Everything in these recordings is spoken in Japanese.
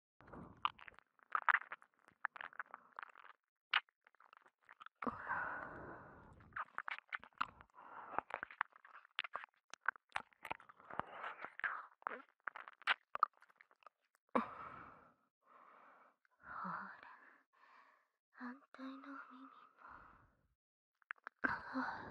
ほら反対の耳もかわいい。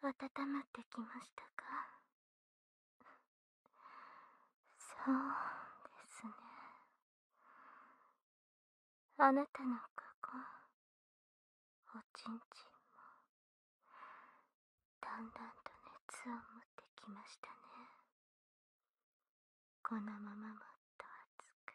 体温まってきましたかそうですねあなたのここおちんちんもだんだんと熱を持ってきましたねこのままもっと熱く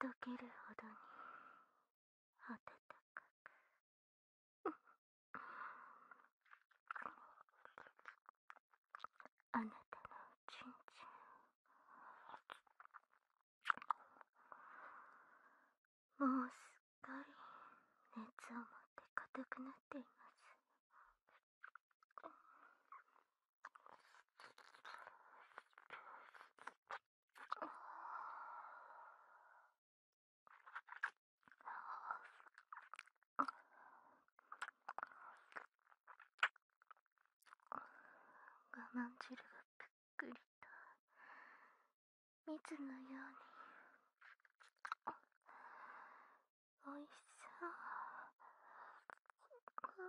溶けるほどに温かくあなたのおちんちんもうすっかり熱を持って硬くなっています我慢汁がぷっくりと蜜のようにおいしそう。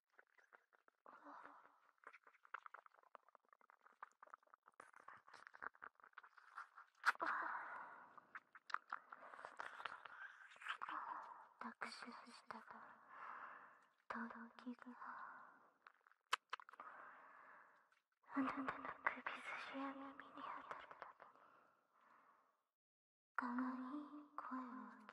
握手したがとろきがあなたの首筋や耳に当たるかわいい声を上げて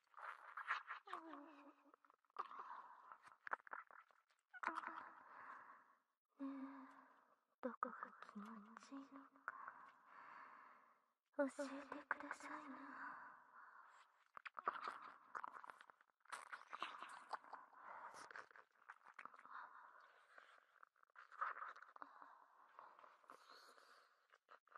ねえどこが気持ちいいのか教えてくださいな。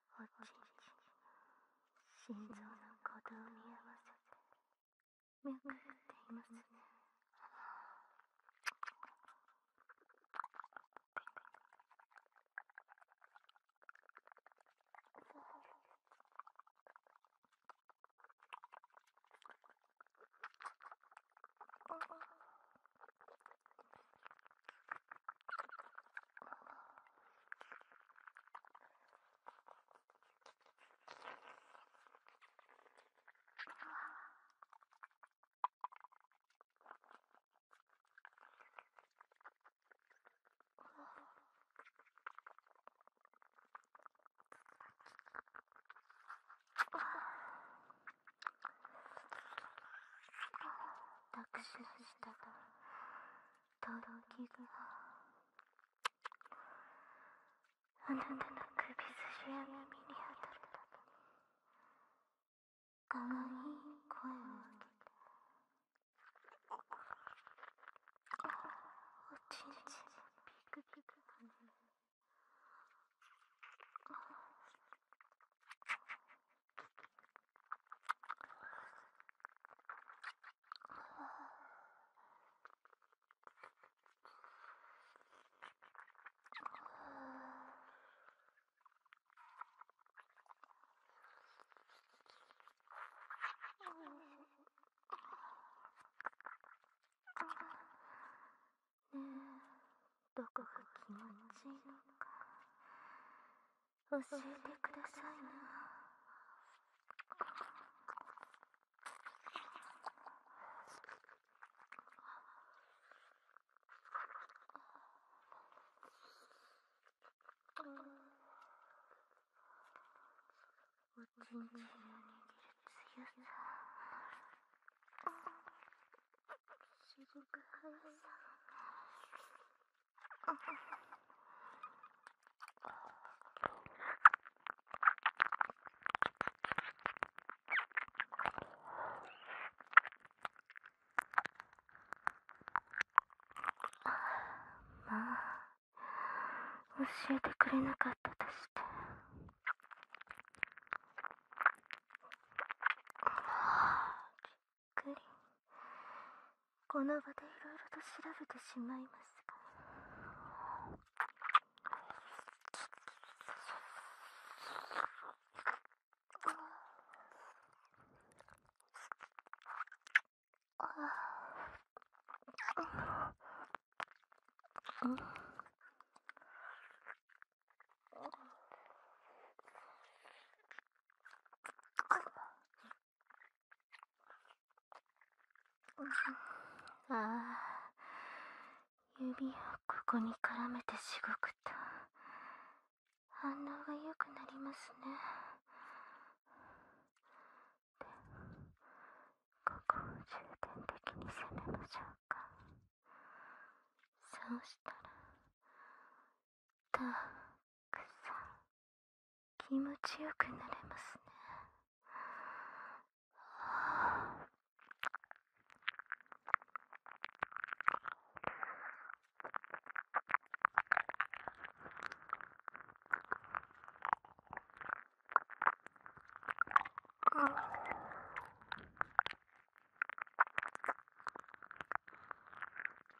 おちんちん心臓の鼓動に合わせて脈打っていますね握手したらとろきがあなたの首筋や耳に当たったかわいい声を上げておちんちんピクピク跳ねえどこが気持ちいいのか教えてくださいなおちんちんを握る強さしごく速さ まあ教えてくれなかったとして。っ、くりこの場でいろいろと調べてしまいますがああ指をここに絡めてしごくと反応がよくなりますねでも、ここを重点的に攻めましょうかそうしたらたくさん気持ちよくなれますね。は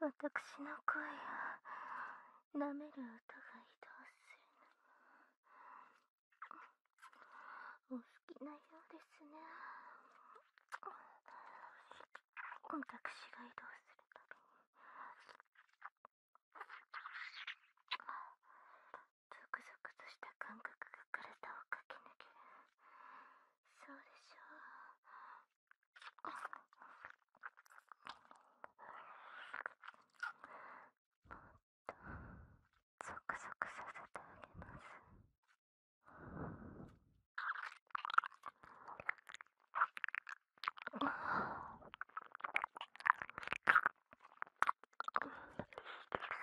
私の声を舐める音が移動するのもお好きなようですね私が移動するたびにゾクゾクとした感覚が体を駆け抜けるそうでしょう。もっとゾクゾクさせてあげます。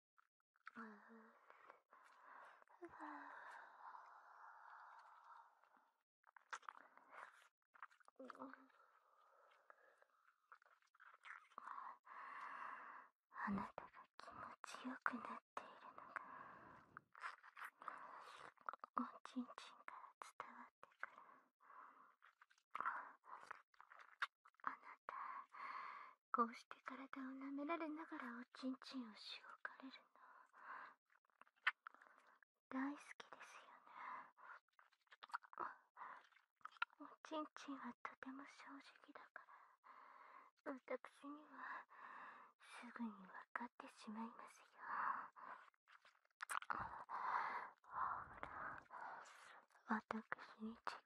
あなたが気持ちよくなっているのがおちんちんから伝わってくるあなたこうして体を舐められながらおちんちんをしごかれるの大好きですよねおちんちんはとても正直だからわたくしにはすぐにわかってしまいますよほらしにち力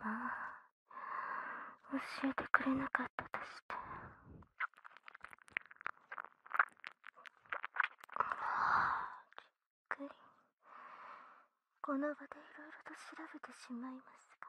はまあ教えてくれなかったとしてはじっくりこの場でいろいろと調べてしまいますが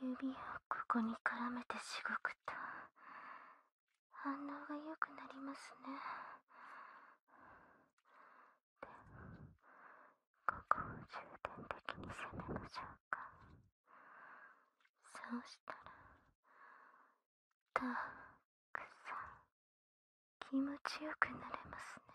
指をここに絡めてしごくと反応がよくなりますねでも、ここを重点的に攻めましょうかそうしたらたくさん気持ちよくなれますね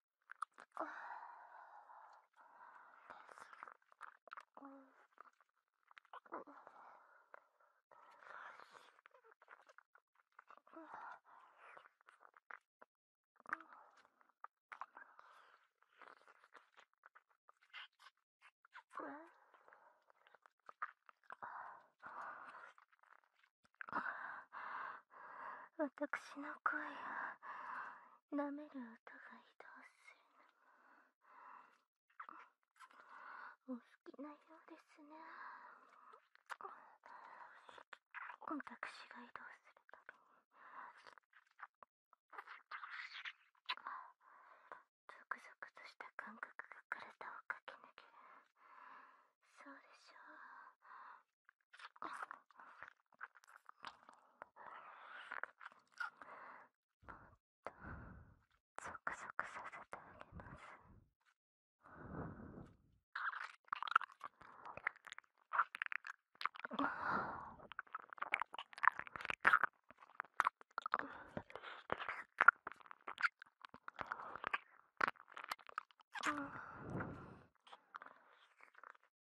私の声舐める音が移動するのもお好きなようですね私が移動するたびにゾクゾクとした感覚が体を駆け抜けるそうでしょうゾクゾクさせてあげます。ん、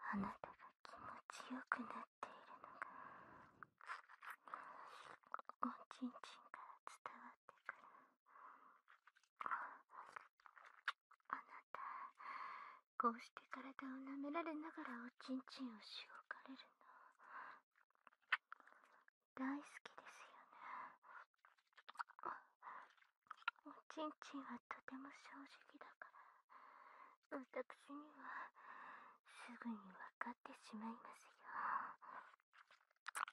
あなたが気持ちよくなっているのがおちんちんから伝わってくるあなたこうして体を舐められながらおちんちんをしごかれるの大好きですよね。おちんちんはとても正直だから、しにはすぐにわかってしまいますよ。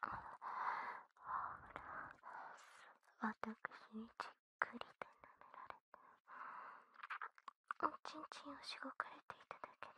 ほら、私にじっくりと舐められて、おちんちんをしごかれていただけで、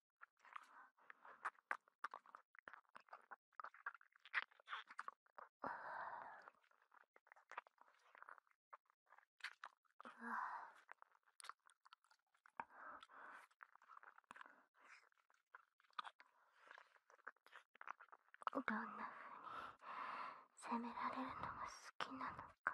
どんな風に責められるのが好きなのか。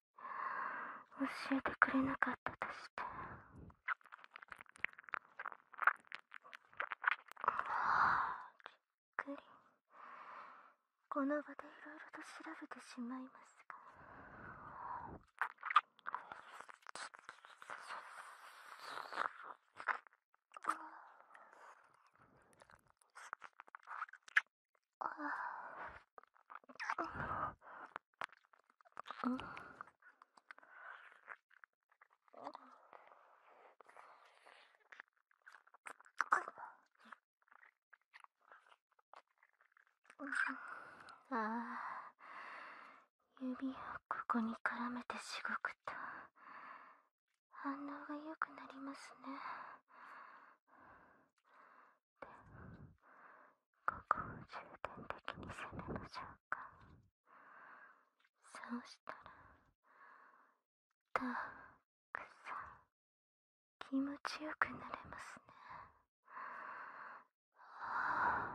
教えてくれなかったとしてびっくりこの場でいろいろと調べてしまいますがああ指をここに絡めてしごくと反応がよくなりますねここを重点的に攻めましょうかそうしたらたくさん気持ちよくなれますねは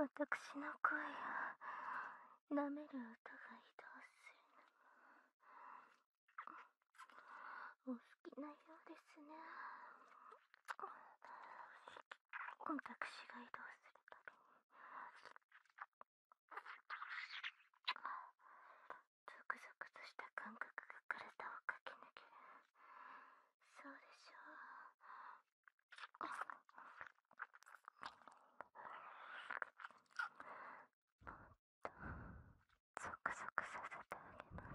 わたくしの声を舐める音が移動するのお好きなようですね私が移動するたびにゾクゾクとした感覚が体を駆け抜けるそうでしょうもっとゾクゾクさせてあげます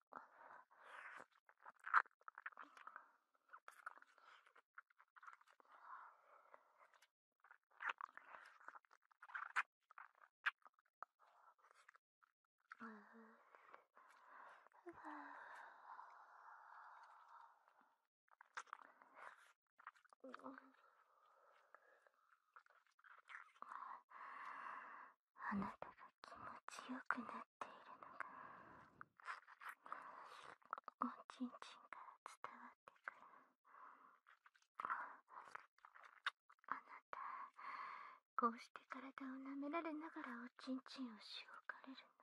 あなたが気持ちよくなるおちんちんから伝わってくるあなたこうして体を舐められながらおちんちんをしおかれるの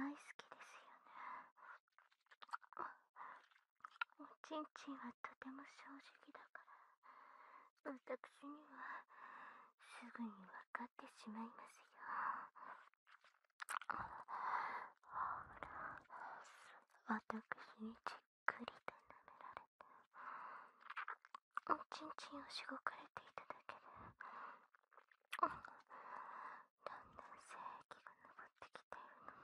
大好きですよねおちんちんはとても正直だからわたくしにはすぐにわかってしまいますよわたくしにじっくりと舐められておちんちんをしごかれていただける…だんだん精液が上ってきているの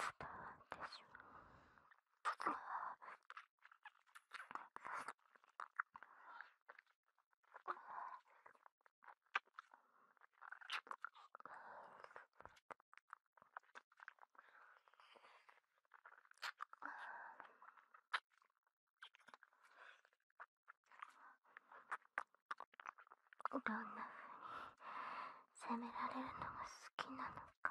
伝わってしまうどんな風に責められるのが好きなのか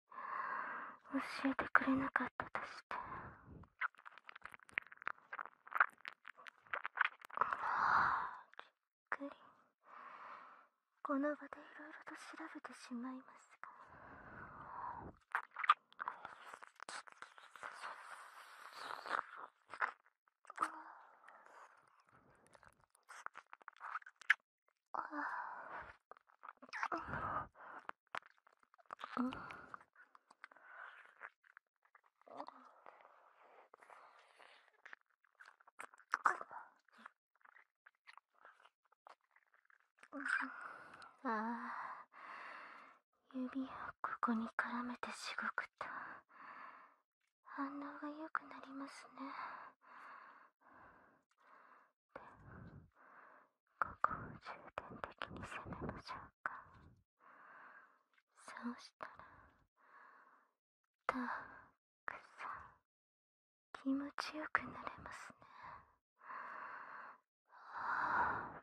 教えてくれなかったとしてびっくりこの場でいろいろと調べてしまいますがああ指をここに絡めてしごくと反応がよくなりますねここを重点的に攻めましょうかそうしたらたくさん気持ちよくなれますねは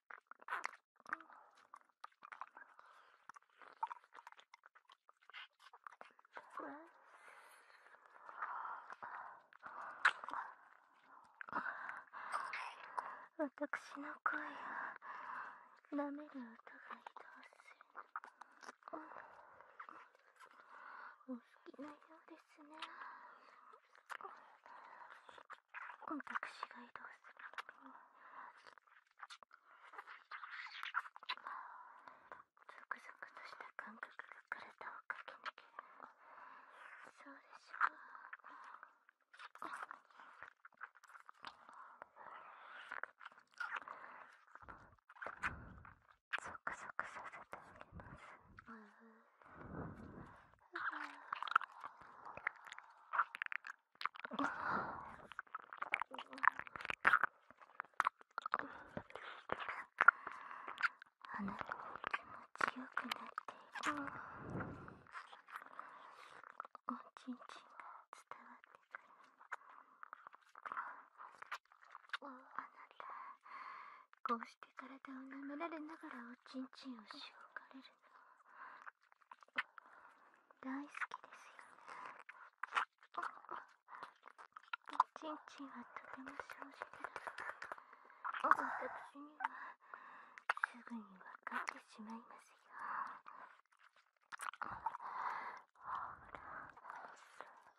私の声をなめる音が移動するお好きなようですね私が移動するたにゾクゾクとした感覚が体を駆け抜けそうでしょうゾクゾクさせてあげますあなたの気持ちよくなっているおちんちんが伝わってくるあなたこうして体を舐められながらちんちんをしごかれるの大好きですよねおちんちんはとても正直だか私にはすぐにわかってしまいますよ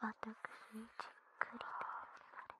私にじっくりと言われ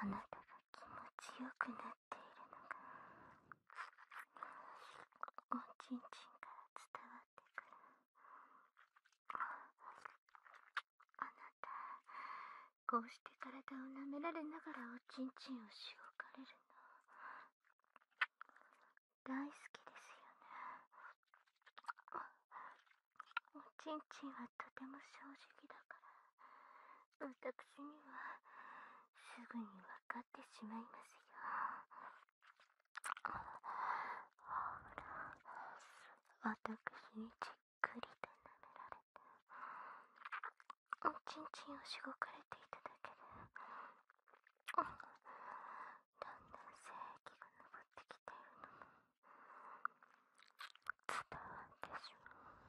あなたが気持ちよくなっているのがおちんちんから伝わってくるあなたこうして体を舐められながらおちんちんをしおかれるの大好きですよねおちんちんはとても正直だから私にはすぐに分かってしまいますよほら私にじっくりと舐められてちんちんをしごかれていただけでだんだん精液が上ってきているのも伝わってしまう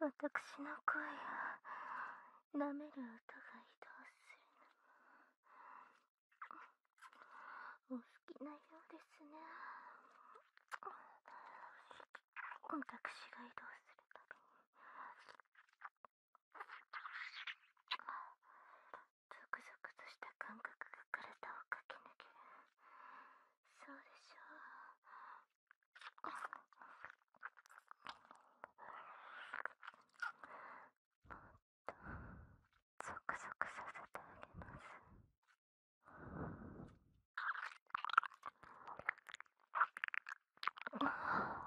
わたくしの声を舐める音が移動するのもお好きなようですねわたくしが移動するゾクゾクとした感覚が体を駆け抜けるそうでしょうもっとゾクゾクさせてあげますあ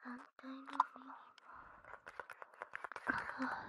反対の耳もあ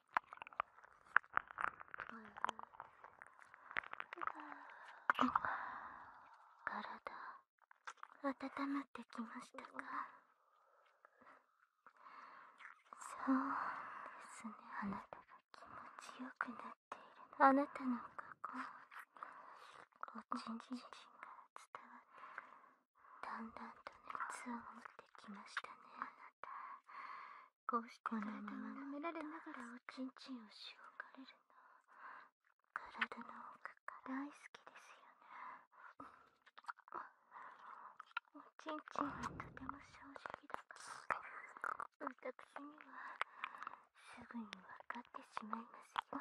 体温まってきましたかそうですねあなたが気持ちよくなっているあなたの過去おちんちんが伝わってだんだんと熱を持っててきましたねあなたこうして体を舐められながらおちんちんをしおかれるの体の奥が大好きですよねおちんちんはとても正直だたくしにはすぐにわかってしまいますよ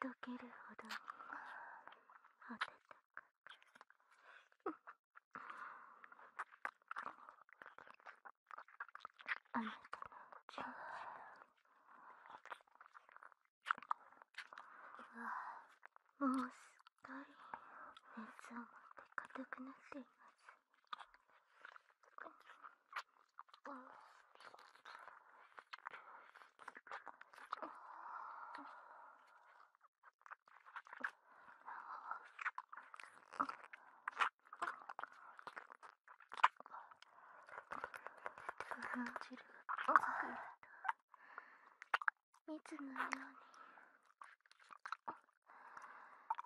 溶けるほど温かくあなたの注射もうすっかり熱を持って硬くなっています落ちる蜜のように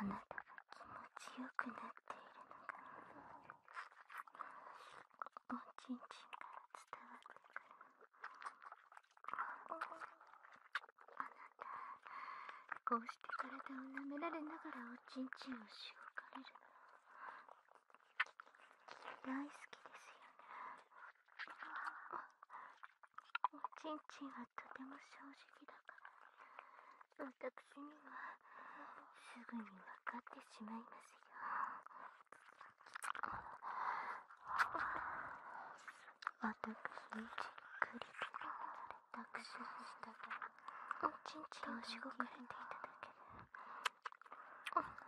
あなたが気持ちよくなっているのがおちんちんが伝わってくる…あなたこうして体を舐められながらおちんちんをしごかれる大好きですよねおちんちんはとても正直だから私にはすぐに分かってしまいますよ私にじっくりと託しましたがおちんちんをしごかれていただけで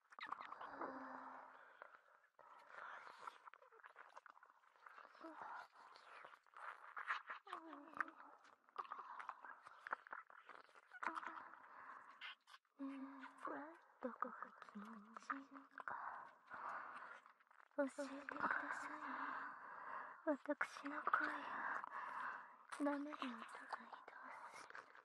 どこが気持ちいいのか教えてくださいわたくしの声や舐める音が移動すて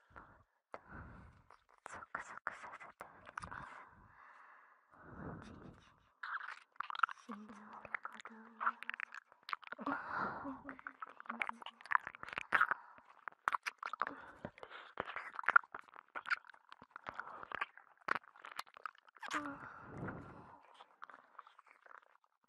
ゾクゾクさせております心臓の鼓動に合わせて眠っ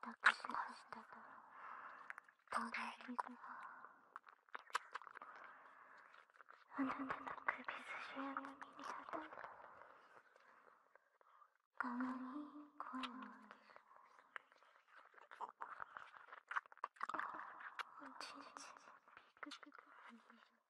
抱きしましたが倒れるのはあなたの首筋や耳に当たる可愛い声をおちんちんピクピク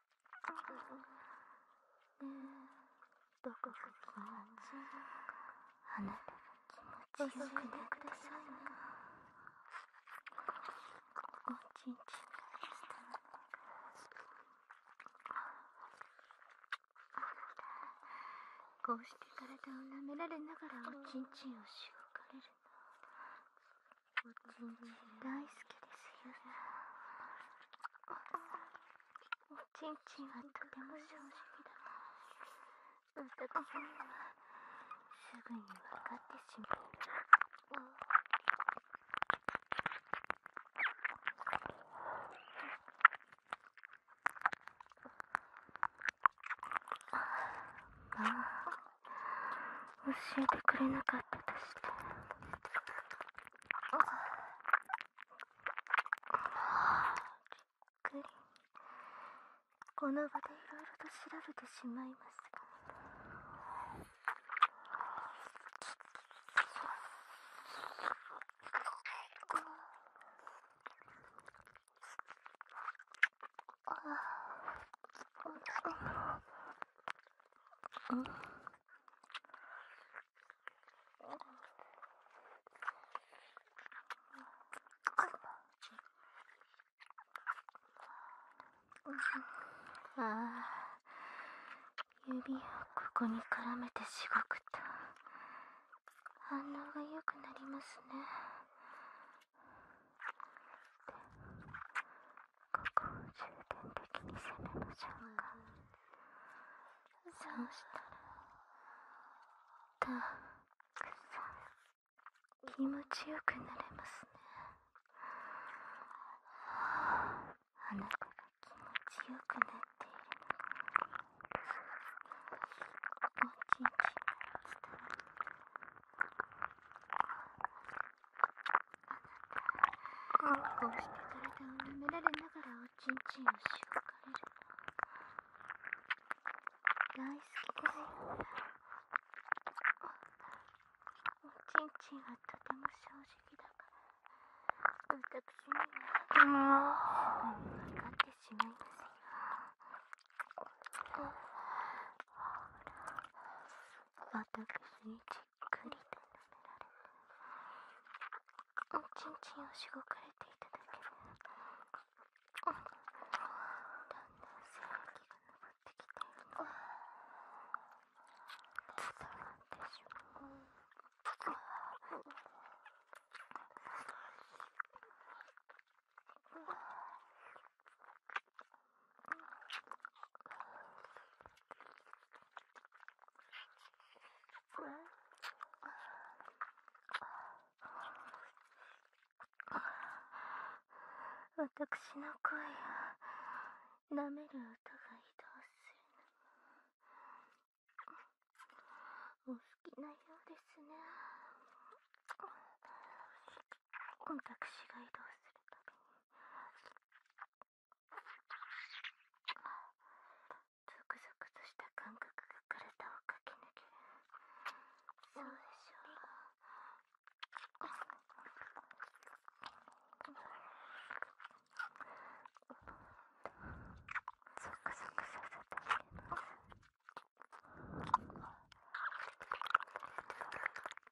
でどこか気持ちあなたが気持ちよくてくださいねおちんちんこうして体を舐められながらおちんちんをしごかれるのちちんん、大好きですよおちんちんはとても正直だな私にはすぐに分かってしまう教えてくれなかったとしてあ、っくりこの場でいろいろと調べてしまいますがああん、あ指をここに絡めてしごくと反応がよくなりますねここを重点的に攻めましょうか、そうしたらたくさん気持ちよくなれますねあなたが気持ちよくなっているのがおちんちんが伝わるあなた、こうしてくれ体を舐められながらおちんちんをしごかれる大好きですよおちんちんはとても正直だから私にはもうす分かってしまいますよ私にちくりと舐められおちんちんをしごかれていただけでだんだん精液が上ってきて伝わってしまう私の声を舐める音が移動するの…お好きなようですね私が移動するたびにゾクゾクとした感覚が体を駆け抜けるそうでしょうゾクゾクさせてあげます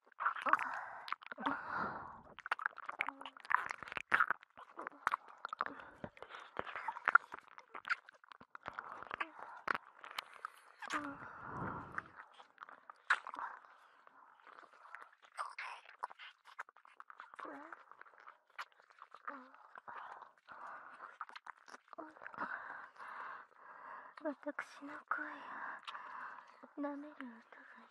私の声を舐める音が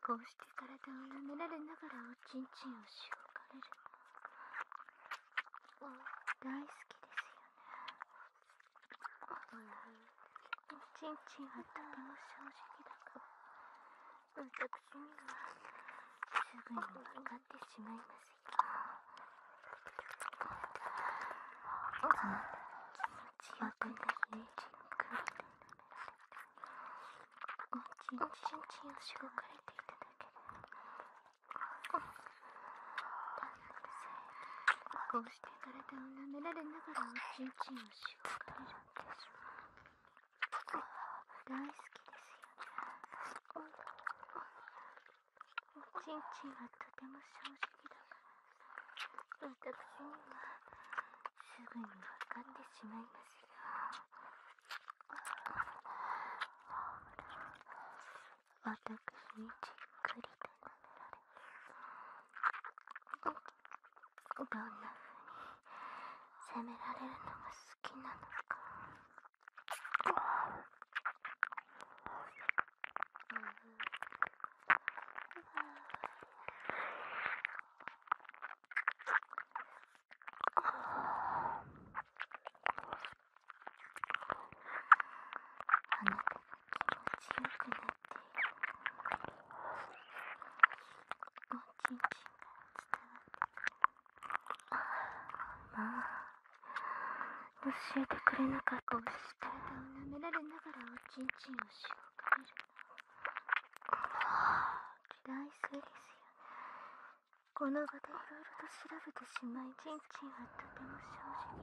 こうして体を舐められながらおちんちんをしごかれる大好きですよねおちんちんはとても正直だから、私にはすぐにわかってしまいますよ気持ちよくなってくるちんちんちんをしごかれていただけるこうして体を舐められながらおちんちんをしごかれるんです大好きですよねおちんちんはとても正直だから私にはすぐにわかってしまいますよ私にじっくりと舐められどんな風に責められるのが好きなのかあななたがが気持ちちよくっってて…いる…おんん伝わ教えてくれなかったです体を舐められながらおちんちんをしごくくる嫌いそうですよねこの場でいろいろと調べてしまいちんちんはとても正直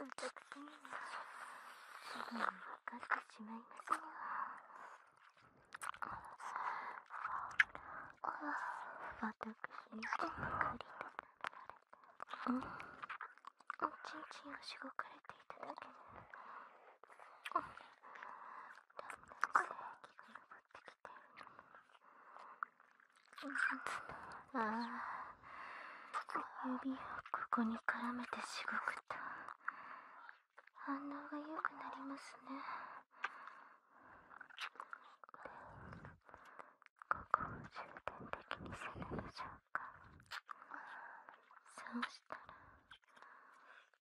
だが私にはすぐに分かってしまいますよ私にしごくりとない、れちんちんをしごかれていただけでああ指をここに絡めてしごくと反応がよくなりますねここを重点的に攻めましょうかそうしたら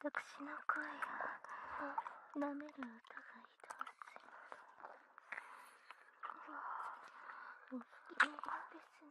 私の声が、舐める歌がいたわすいませいお好ですね。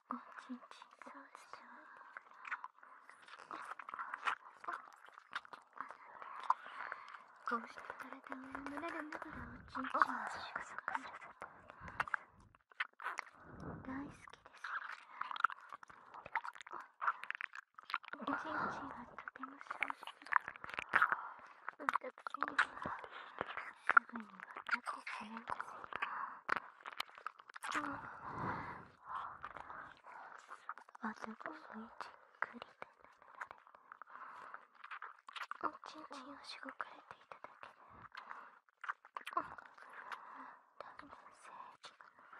おちんちんそうしておいてくれこうして体を舐められながおちんちんを食ささせておます大好きですおちんちんはとても正直だ私にはすぐに復活するんですが、まずゴムにじっくりと舐められて、おちんちんをしごかれていただけで、だんだん精液が上ってきて、るの…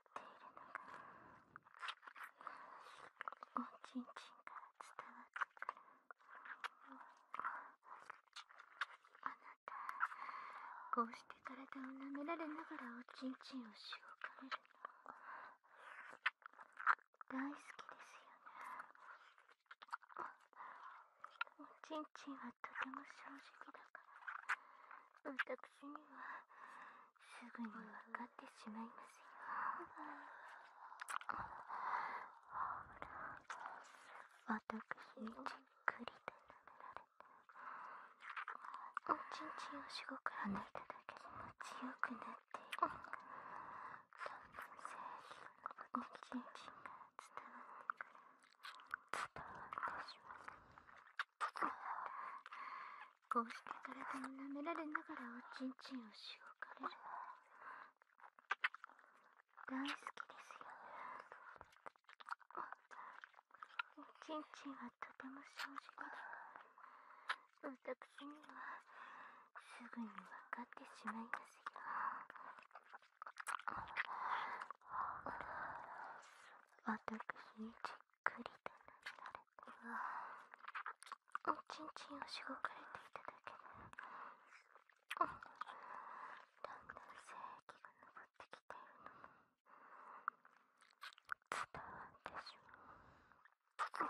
おちんちんから伝わってくるあなたこうして体を舐められながらおちんちんをしおかれるの大好きですよねおちんちんはとても正直だから私にはすぐにわかってしまいますよ。私にじっくりと舐められて、おちんちんをしごから抜いた気持ちよくなっているのかな。のおちんちんが伝わってくる。伝わってしまう。こうして体を舐められながらおちんちんをしごかれるの大好きですよおちんちんはとても正直だ私にはすぐにわかってしまいますよ私一くりと撫おちんちんをしごかれていただけで、ん、だんだん精液が上ってきているのも伝わってしまう。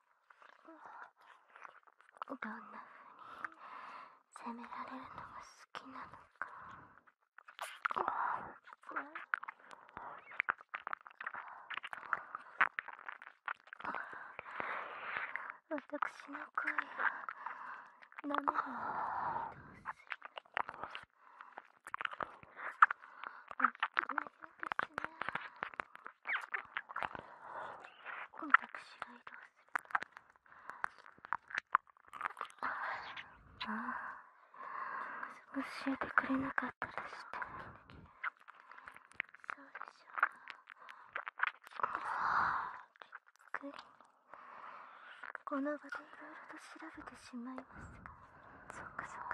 どんな風に責められるのが好きなのか。私の声はダメなのにどうするこの私が移動するああ教えてくれなかったらしてそうでしょうこの場でいろいろと調べてしまいますがそっかそっかそっか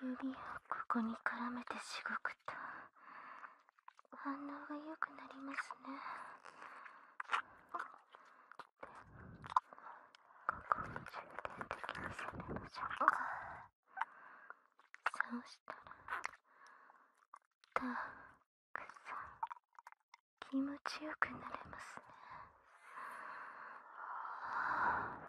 指をここに絡めてしごくと反応がよくなりますねここに重点的に攻めましょうかそうしたらたくさん気持ちよくなれますね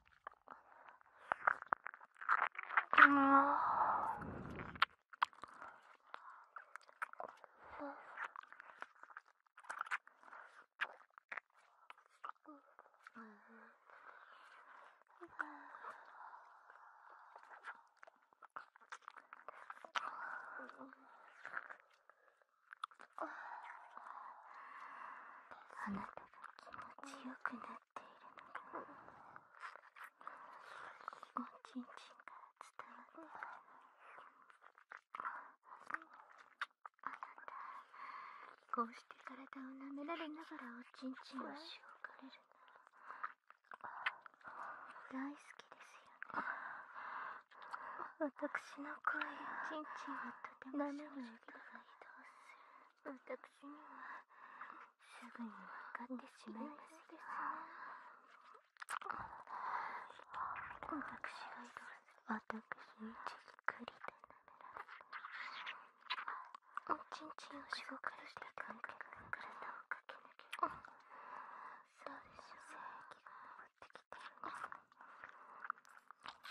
あなたが気持ちよくなっておちんちんから伝わてあなたこうして体を舐められながらおちんちんをしおかれるの大好きですよねしの声やちんちんはとても舐める音が移動する私にはすぐにわかってしまいますよ。私が私にじっくりと舐められおちんちんをしごかれていくんか体をかけなければ。うでしょ精液が上ってきてるすか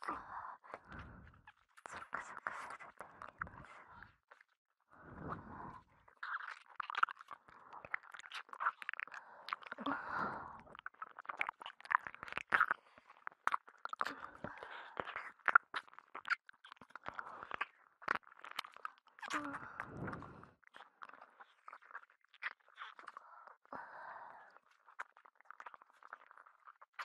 どうでしょそっかそっかさせてあげます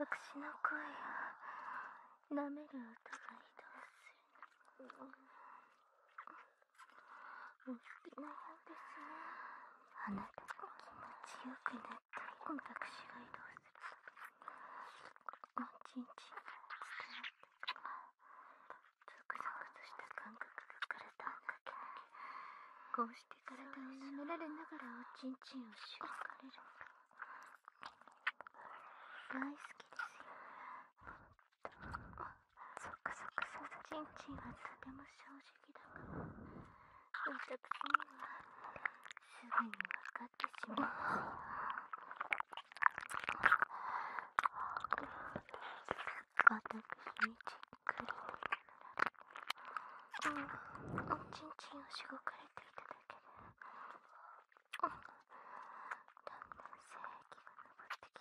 私の声を舐める音が移動する。大きなようですねあなたが気持ちよくなった今私が移動するおちんちんが伝ってザクザクとした感覚が体をかけこうして体を舐められながらおちんちんをしばかれる大好きですよそっそっさすちんちんはとても正直だから私にはすぐに分かってしまう私にじっくりうん、おちんちんをしごかれていただけん、だんだん精が上ってき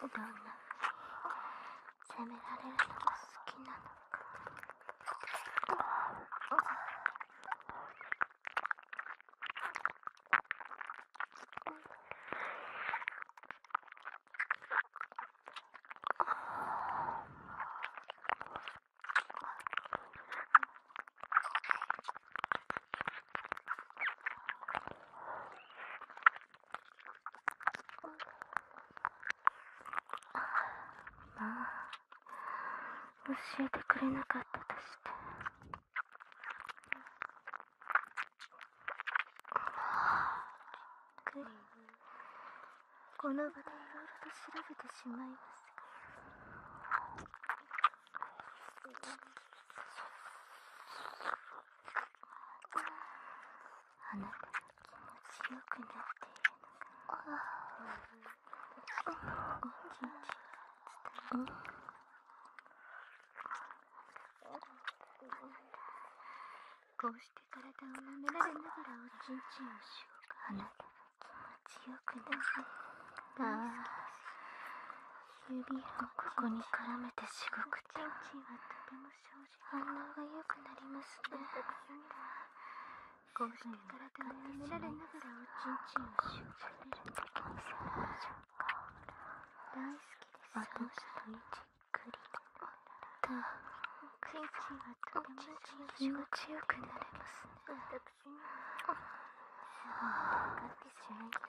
どんな責められるのが好きなのかまあ教えてくれなかったとしてクっくり、この場でいろいろと調べてしまいますがあなたが気持ちよくなっているのがああうんうんうんこうして体を舐められながらおちんちんをしようあなたが気持ちよくなっている指やここに絡めてしごくと反応が良くなりますねこうしておちんちんをしゅくるときに大好きです私とじっくはとても気持ちがくなれますね私には分かってしまいですよ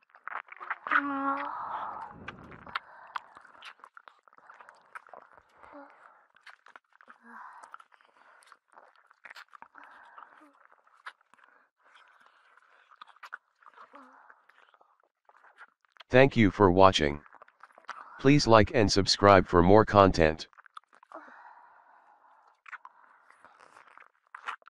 Thank you for watching. Please like and subscribe for more content.